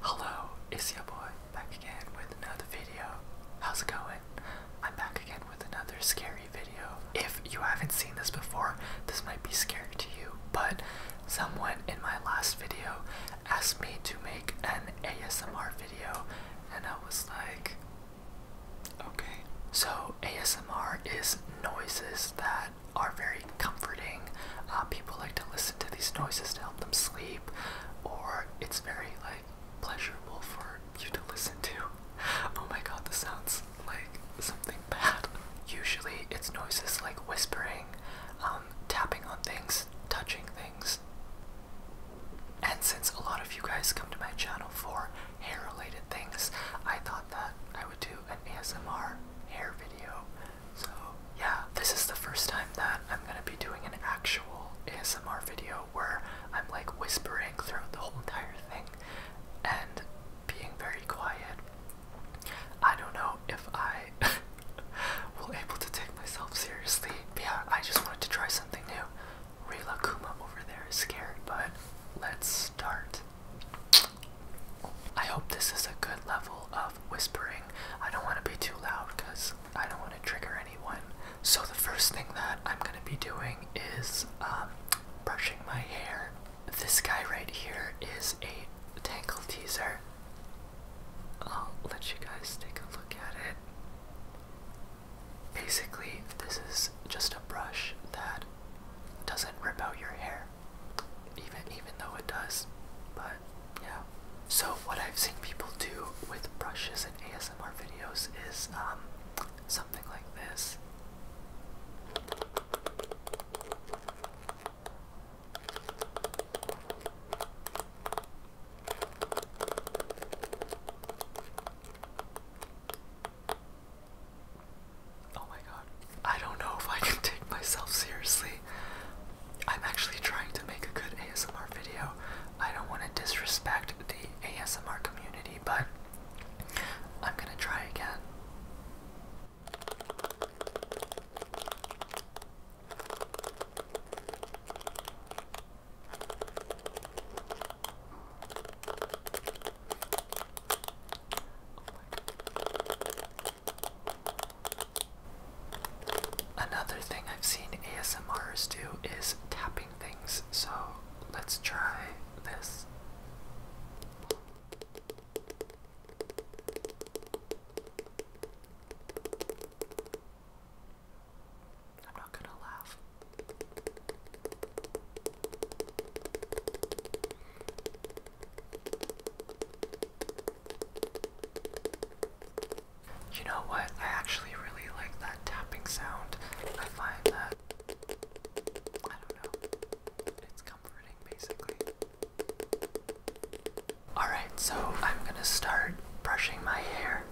Hello, it's your boy back again with another video. How's it going? I'm back again with another scary video. If you haven't seen this before, this might be scary to you, but someone in my last video asked me to make an ASMR video, and I was like, okay. So, ASMR is noises that are very comforting. Uh, people like to listen to these noises to help them sleep, or it's very like pleasurable for you to listen to. Oh my god, this sounds like something bad. Usually, it's noises like whispering, um, tapping on things, touching things. And since a lot of you guys come to my channel for hair related things, I thought that I would do an ASMR hair video. So, yeah, this is the first time that I'm gonna be doing an actual ASMR video where I'm like whispering throughout the whole entire thing and being very quiet. I don't know if I will able to take myself seriously. But yeah, I just wanted to try something new. Rila Kuma over there is scared, but let's start. I hope this is a good level of whispering. I don't want to be too loud because I don't want to trigger anyone. So, the first thing that I'm going to be doing is um, brushing my hair. This guy right here is a tangle teaser. I'll let you guys take a look at it. Basically, this is just a brush that doesn't rip out your hair even even though it does. But yeah. So what I've seen people do with brushes and ASMR videos is um, something like this. Oh my god. I don't know if I can take myself seriously. I'm actually trying to make a good ASMR video. I don't want to disrespect the ASMR community, but I'm gonna try again. Oh Another thing I've seen ASMRs do is tapping things, so let's try this. I'm not gonna laugh. You know what? I actually really like that tapping sound. I find that. I don't know. It's comforting, basically. Alright, so I'm gonna start brushing my hair.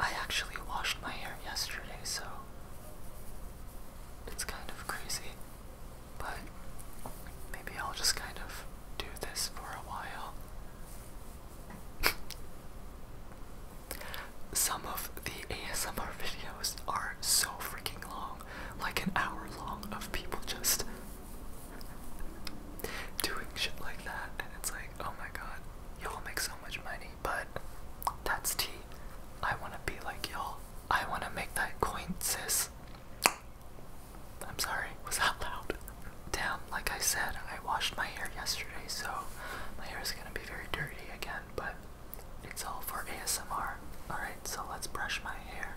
I actually washed my hair yesterday, so. It's kind of crazy. But maybe I'll just kind of do this for a while. Some of the ASMR videos are so freaking long, like an hour long of people just doing shit like that, and it's like, oh my god, y'all make so much money, but that's tea. I wanna be like y'all. I wanna make that coin, sis. I'm sorry, was that loud? Damn, like I said, I washed my hair yesterday, so my hair is gonna be very dirty again, but it's all for ASMR. Alright, so let's brush my hair.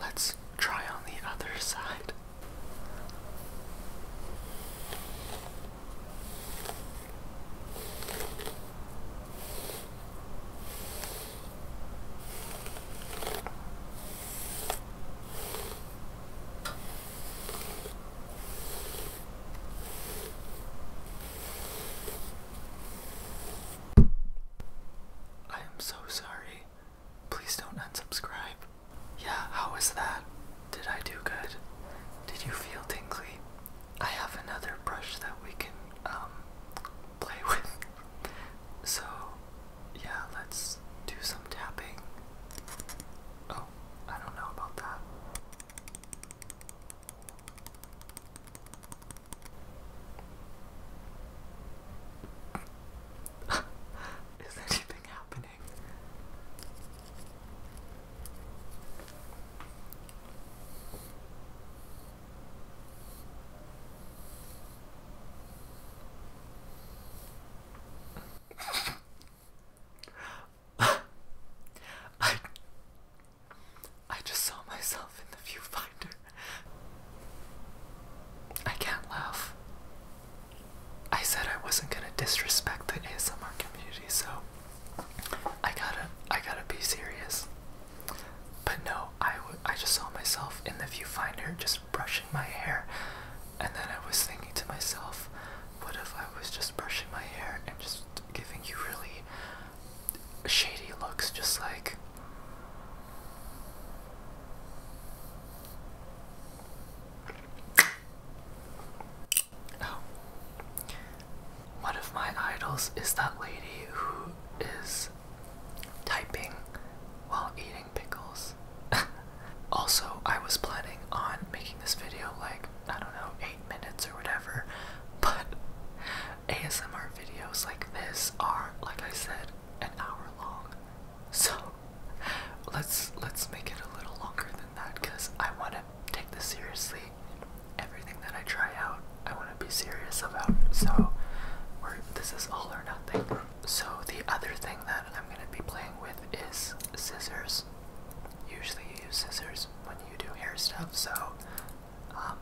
Let's try on the other side. I am so sorry. Please don't unsubscribe. Yeah, how was that? Did I do good? Did you feel tingly? I have another brush that we can um play with. so yeah, let's do some tapping. I don't know about that. Is anything happening? I I just saw myself in the viewfinder. I can't laugh. I said I wasn't gonna disrespect the ASMR community, so I gotta I gotta be serious. But no, I, w I just saw myself in the viewfinder just brushing my hair, and then I was thinking to myself, what if I was just brushing my hair and just giving you really shady looks, just like. Oh. One my idols is that lady who is typing while eating pickles. also, I was planning on making this video like, I don't know, 8 minutes or whatever, but ASMR videos like this are, like I said, an hour long. So, let's let's make it a little longer than that cuz I want to take this seriously. Everything that I try out, I want to be serious about. So, we're, this is all or nothing so the other thing that I'm going to be playing with is scissors. Usually you use scissors when you do hair stuff, so um,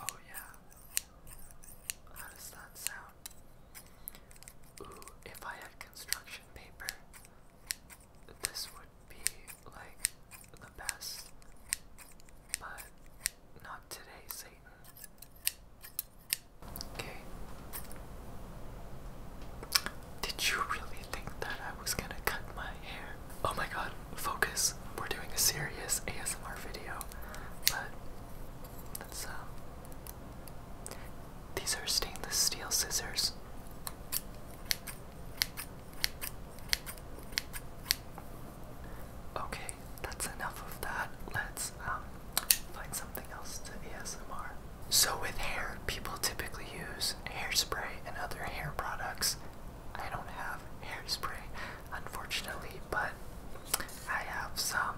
Oh, yeah. How does that sound? Ooh, if I had construction paper, this would be like the best. But not today, Satan. Okay. Did you really think that I was gonna cut my hair? Oh my god, focus. We're doing a serious ASMR video, but let's, um. These are stainless steel scissors. Okay, that's enough of that. Let's, um, find something else to ASMR. So, with hair, people typically use hairspray and other hair products. I don't have hairspray, unfortunately, but I have some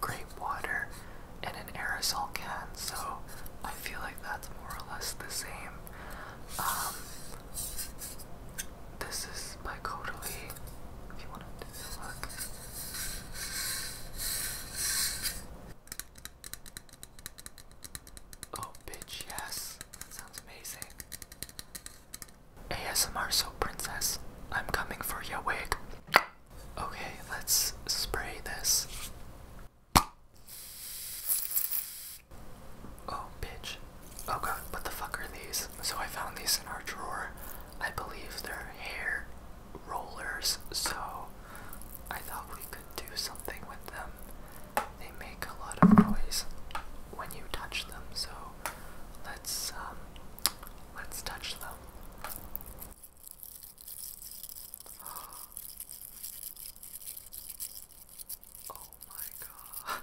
grape water and an aerosol can, so I feel like that's more or less the same. Um, this is by Caudalie, if you want to look. Oh, bitch, yes. That sounds amazing. ASMR so Princess, I'm coming for your wig. Okay, let's spray this. Oh, bitch. Oh god, what the fuck are these? So I found these in our drawer. I believe they're hair rollers, so I thought we could do something with them. They make a lot of noise when you touch them, so let's um, let's touch them. Oh my god.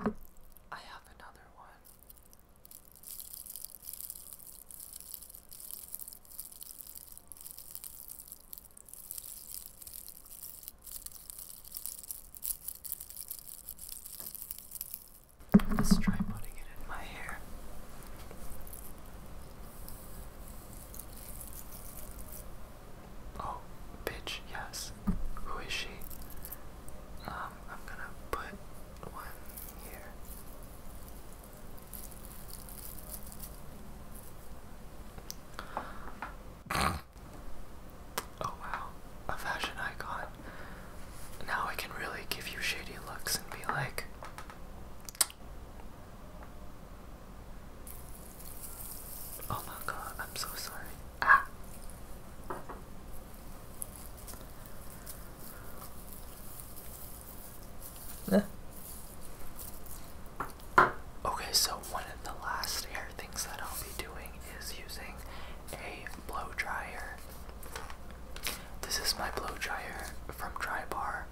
I have another one. Let's try putting it in my hair. Oh, bitch, yes. Who is she? Uh, I'm gonna put one here. oh wow, a fashion icon. Now I can really give you shady looks and be like, Oh my god, I'm so sorry. Ah. Yeah. Okay, so one of the last hair things that I'll be doing is using a blow dryer. This is my blow dryer from Drybar.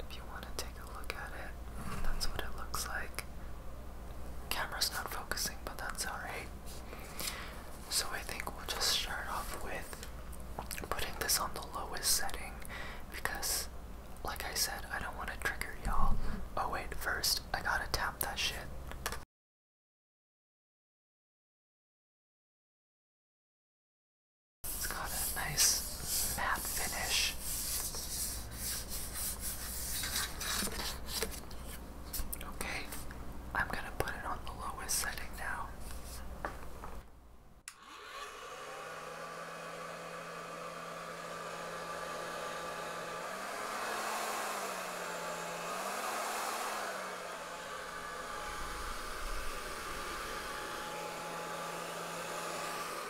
If you want to take a look at it, that's what it looks like. Camera's not focusing, but that's alright. So I think we'll just start off with putting this on the lowest setting because, like I said, I don't want to trigger y'all. Oh, wait, first, I gotta tap that shit. It's got a nice matte finish. Okay, I'm gonna put it on the lowest setting now.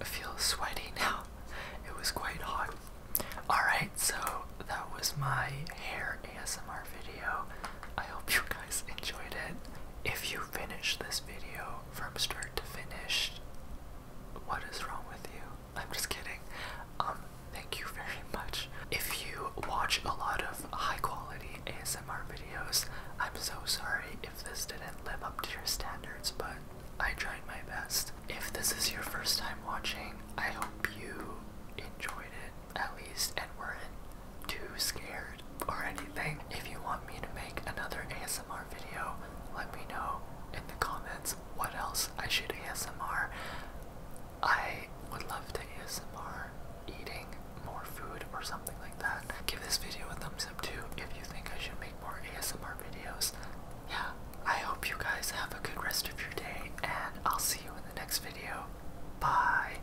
I feel sweaty now. It was quite hot. Alright, so that was my hair ASMR video. I hope you guys enjoyed it. If you finished this video from start to finish, what is wrong with you? I'm just kidding. Um, thank you very much. If you watch a lot of high quality ASMR videos, I'm so sorry if this didn't live up to your standards, but I tried my best. If this is your first time watching, I hope you enjoyed it at least and weren't too scared or anything. If you want me to make another ASMR video, let me know in the comments what else I should ASMR. I would love to ASMR eating more food or something like that. Give this video a thumbs up too if you think I should make more ASMR videos yeah, I hope you guys have a good rest of your day, and I'll see you in the next video. Bye.